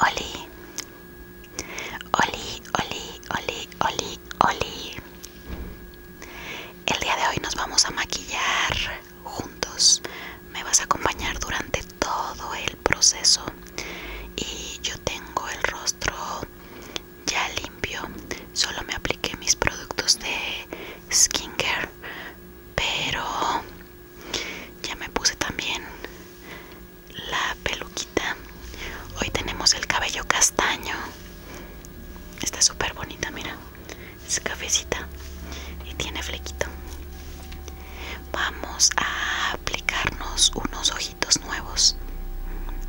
Oli, Oli, Oli, Oli, Oli, Oli. El día de hoy nos vamos a maquillar juntos. Me vas a acompañar durante todo el proceso. Y yo tengo el rostro ya limpio. Solo me apliqué mis productos de skincare. Pero ya me puse también la peluquita. Hoy tenemos el cabello castaño. Está súper bonita, mira. Es cafecita y tiene flequito. Vamos a aplicarnos unos ojitos nuevos.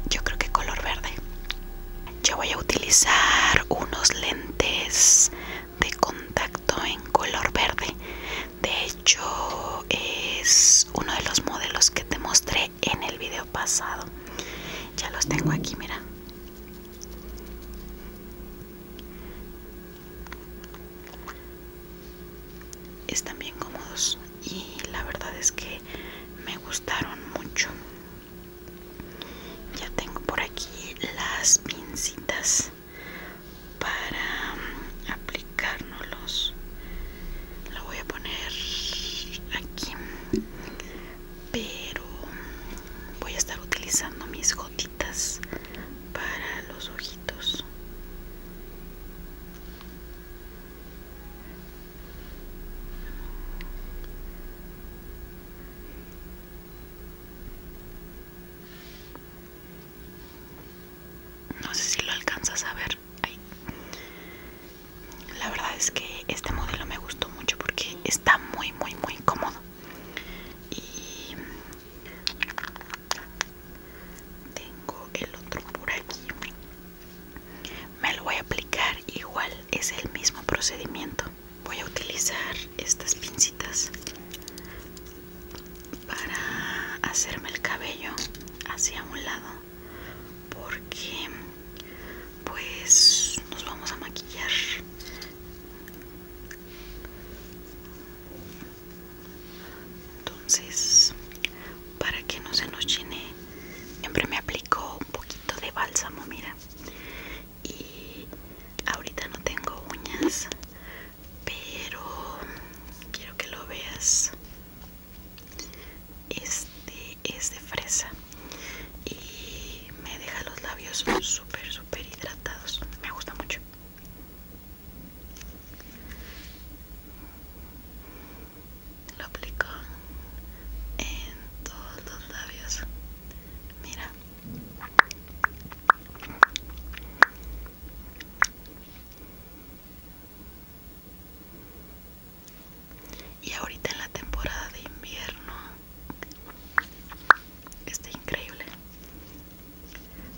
Yo creo que color verde. Yo voy a utilizar unos lentes de contacto en color verde de hecho es uno de los modelos que te mostré en el video pasado ya los tengo aquí mira están bien cómodos y la verdad es que me gustaron mucho ya tengo por aquí las pincitas para mm, aplicárnoslos lo voy a poner aquí pero mm, voy a estar utilizando mis gotitas para los ojitos no sé si lo alcanzas a ver La verdad es que este modelo me gustó mucho porque está muy, muy, muy cómodo. Y tengo el otro por aquí. Me lo voy a aplicar igual, es el mismo procedimiento. Voy a utilizar estas pincitas para hacerme el cabello hacia un lado porque pues nos vamos a maquillar entonces para que no se nos llene siempre me aplico un poquito de bálsamo mira y ahorita no tengo uñas pero quiero que lo veas este es de fresa y me deja los labios súper súper hidratados me gusta mucho lo aplico en todos los labios mira y ahorita en la temporada de invierno está increíble.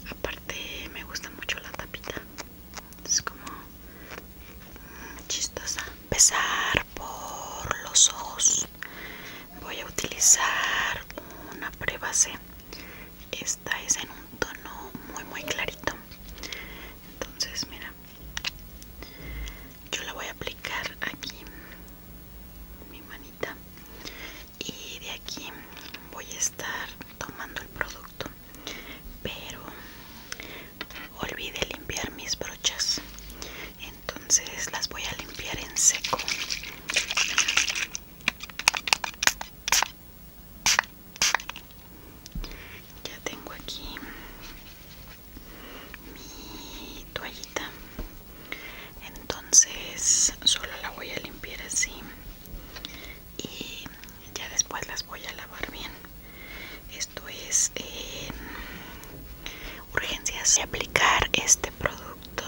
Aparte me gusta mucho la tapita. Es como chistosa. Empezar por los ojos voy a utilizar una prebase esta es en un tono muy muy clarito entonces mira yo la voy a aplicar aquí mi manita y de aquí voy a estar tomando el producto pero olvidé limpiar mis brochas entonces las voy a limpiar en seco ya tengo aquí mi toallita. Entonces solo la voy a limpiar así y ya después las voy a lavar bien. Esto es urgencias y aplicar este producto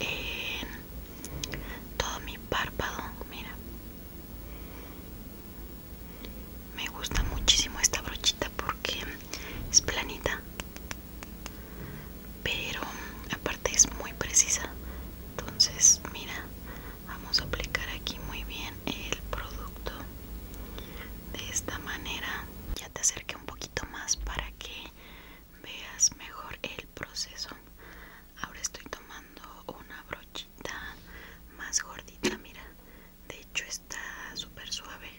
en todo mi párpado mira me gusta muchísimo esta brochita porque es planita pero aparte es muy precisa entonces mira vamos a aplicar aquí muy bien el producto de esta manera ya te acerqué un poquito más para que veas mejor el proceso ahora estoy tomando una brochita más gordita mira de hecho está súper suave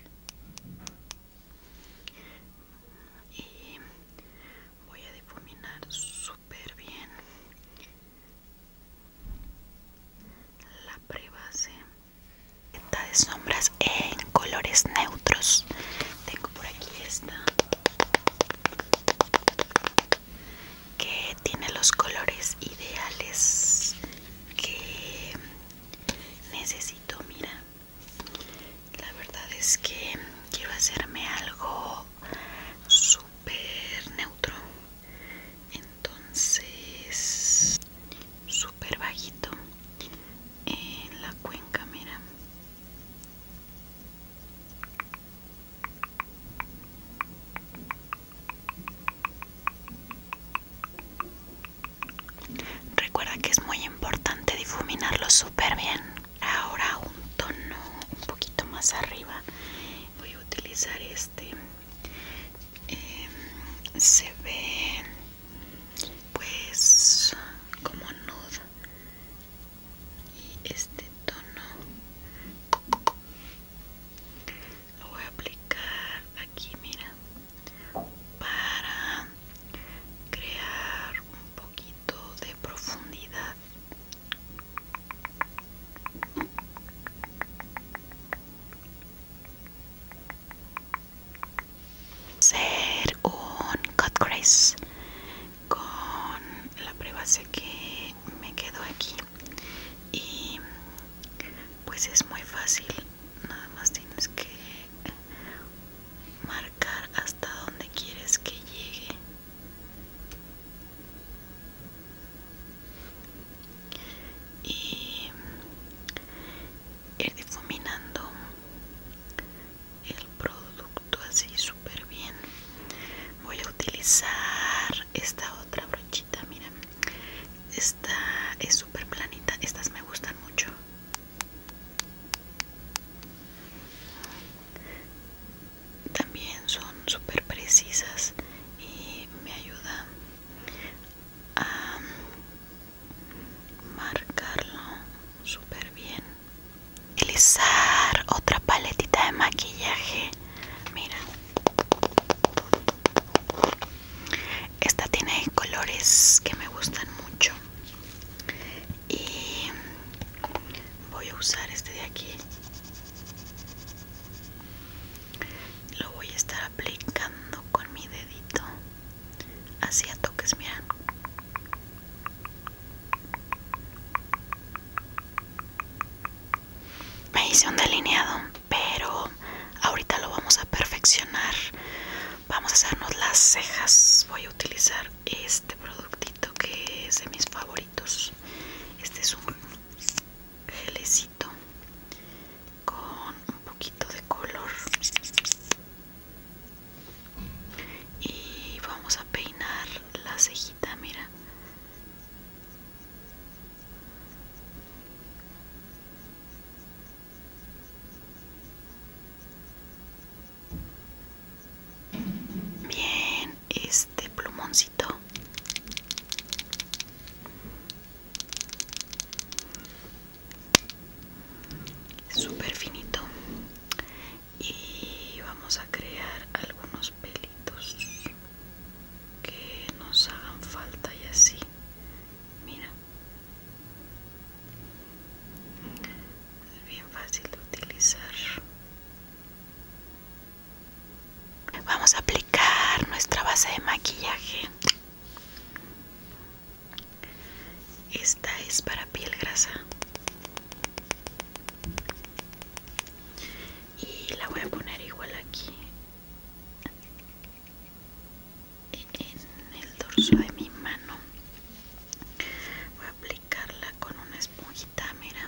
y voy a difuminar súper bien la prebase de sombras en colores neutros tengo por aquí esta que tiene los colores ideales que necesito mira la verdad es que quiero hacerme algo súper neutro entonces súper bajito en la cuenca mira recuerda que es muy importante difuminarlo súper bien ahora un tono un poquito más arriba voy a utilizar este em, se ve pues como nude y este tono lo voy a aplicar aquí mira para crear un poquito de profundidad ser un cut crease con la prebase que me quedó aquí y pues es muy fácil nada más tienes que marcar hasta donde quieres que llegue y ir difuminando el producto así súper bien voy a utilizar esta otra brochita mira esta es súper planita estas me gustan mucho también son súper precisas y me ayuda a marcarlo súper bien utilizar otra paletita de maquillaje mira esta tiene colores que me gustan mucho y voy a usar este de aquí lo voy a estar aplicando con mi dedito así a toques, mía. Me hice un delineado, pero ahorita lo vamos a perfeccionar. Vamos a hacernos las cejas. Voy a utilizar este productito que es de mis favoritos. Este es un gelecito con un poquito de color y vamos a peinar la cejita mira Bien, este plumoncito super finito y vamos a crear algunos pelitos que nos hagan falta y así mira es bien fácil de utilizar vamos a aplicar nuestra base de maquillaje esta es para piel grasa. Y la voy a poner igual aquí. En el dorso de mi mano. Voy a aplicarla con una esponjita, mira.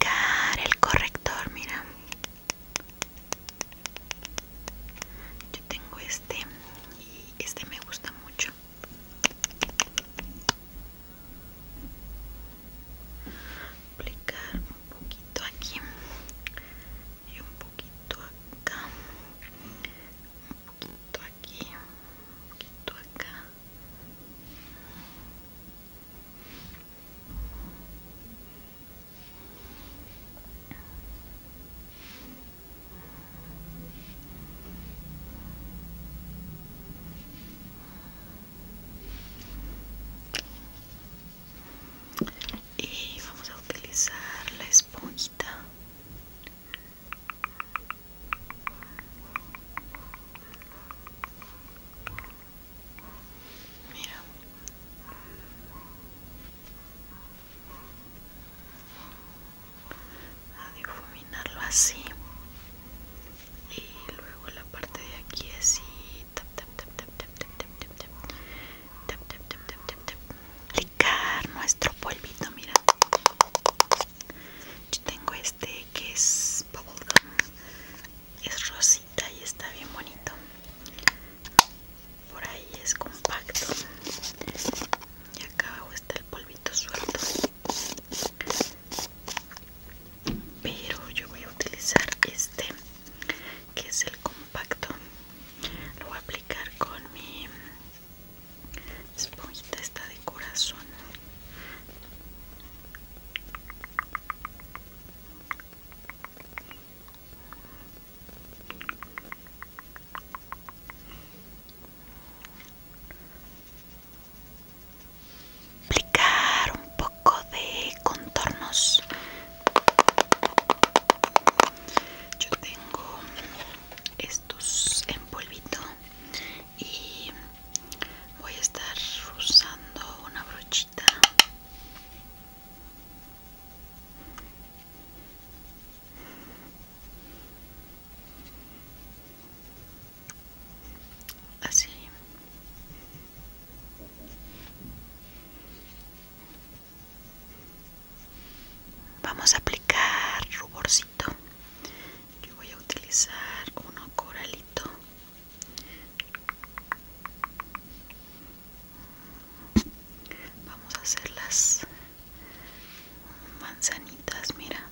Car el corrector, mira. Yo tengo este y este me gusta mucho. Aplicar un poquito aquí y un poquito acá un poquito aquí, un poquito acá. Y vamos a utilizar la esponja mira a difuminarlo así y luego la parte de aquí así tap tap tap tap tap tap tap tap tap, tap, tap, tap, tap, tap. aplicar nuestro polvito mira yo tengo este que es es rosita y está bien bonito por ahí es compacto y acá abajo está el polvito suelto pero yo voy a utilizar este que es el compacto lo voy a aplicar con mi esponjita esta de corazón aplicar un poco de contornos yo tengo estos en polvito y voy a estar usando una brochita así Vamos a aplicar ruborcito. Yo voy a utilizar uno coralito. Vamos a hacer las manzanitas, mira.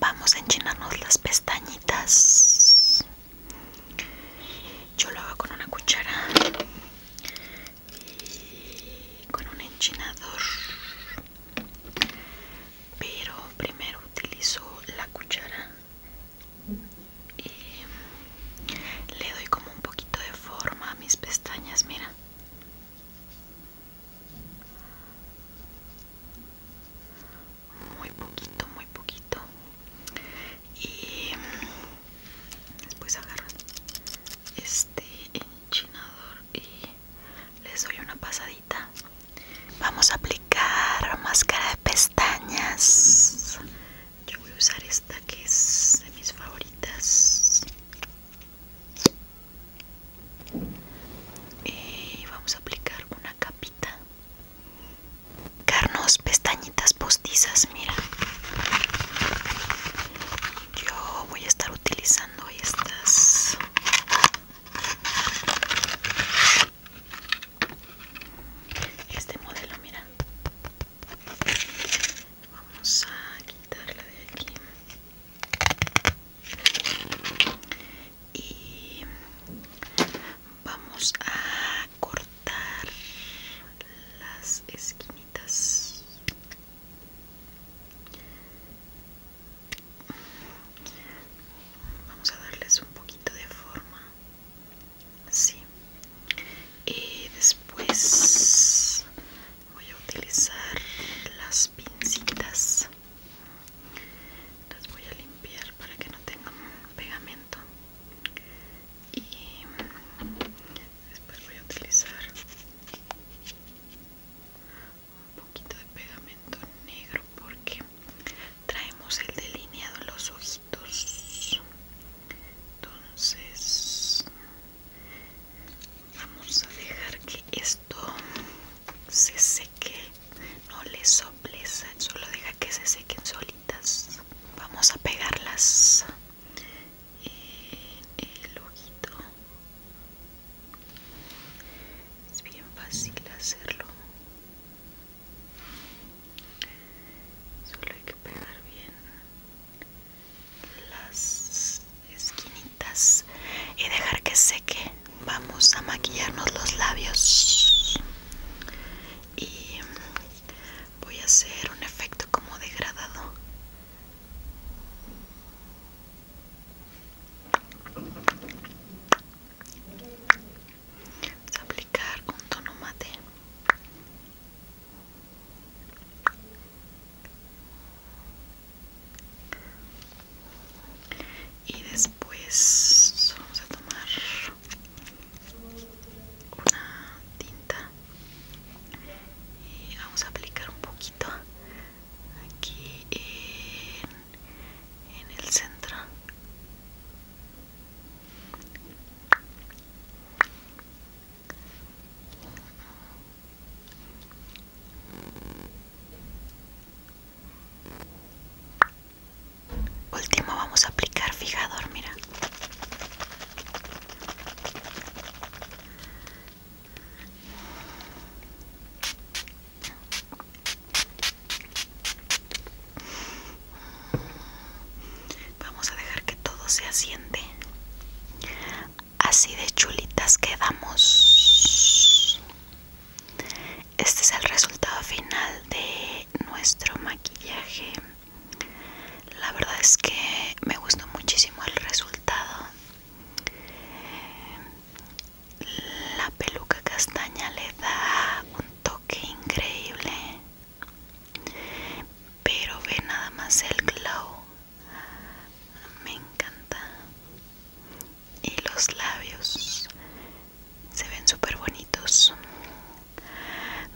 Vamos a enchinarnos las pestañitas. Yo lo hago con una cuchara y con un enchinador. Pero primero utilizo la cuchara y le doy como un poquito de forma a mis pestañas, mira muy poquito muy poquito y mm, después agarro este enchinador y les doy una pasadita vamos a aplicar máscara de pestañas yo voy a usar esta que es de mis favoritas y eh, vamos a aplicar una capita carnos pestañitas postizas mira yo voy a estar utilizando estas este modelo mira vamos a quitarla de aquí y vamos a cortar las esquinitas vamos a darles un poquito de forma sí y después voy a utilizar las pincitas las voy a limpiar para que no tengan pegamento y después voy a utilizar un poquito de pegamento negro porque traemos el delineado los ojitos entonces vamos a dejar que esto se seque no le soples solo deja que se sequen solitas vamos a pegarlas en el ojito es bien fácil hacerlo solo hay que pegar bien las esquinitas y dejar que seque vamos a maquillarnos los labios y voy a hacer un efecto como degradado aplicar un tono mate y después vamos a tomar una tinta y vamos a aplicar un poquito aquí en, el centro Último vamos a aplicar fijador, mira. Vamos a dejar que todo se asiente así de chulitas quedamos este es el resultado final de nuestro maquillaje la verdad es que me gustó muchísimo el resultado la peluca castaña le da un toque increíble pero ve nada más el glow me encanta y los labios se ven súper bonitos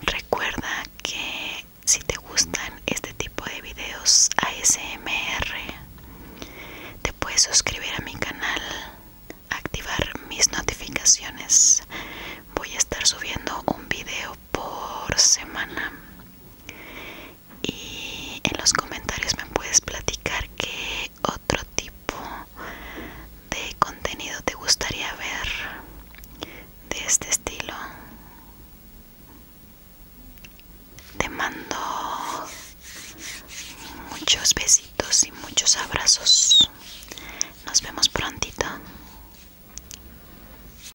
recuerda que si te gustan este tipo de videos ASMR te puedes suscribir a mi canal activar mis notificaciones voy a estar subiendo un video por semana y en los comentarios me puedes platicar qué otro tipo de contenido te gustaría ver de este estilo te mando muchos besitos y muchos abrazos nos vemos prontito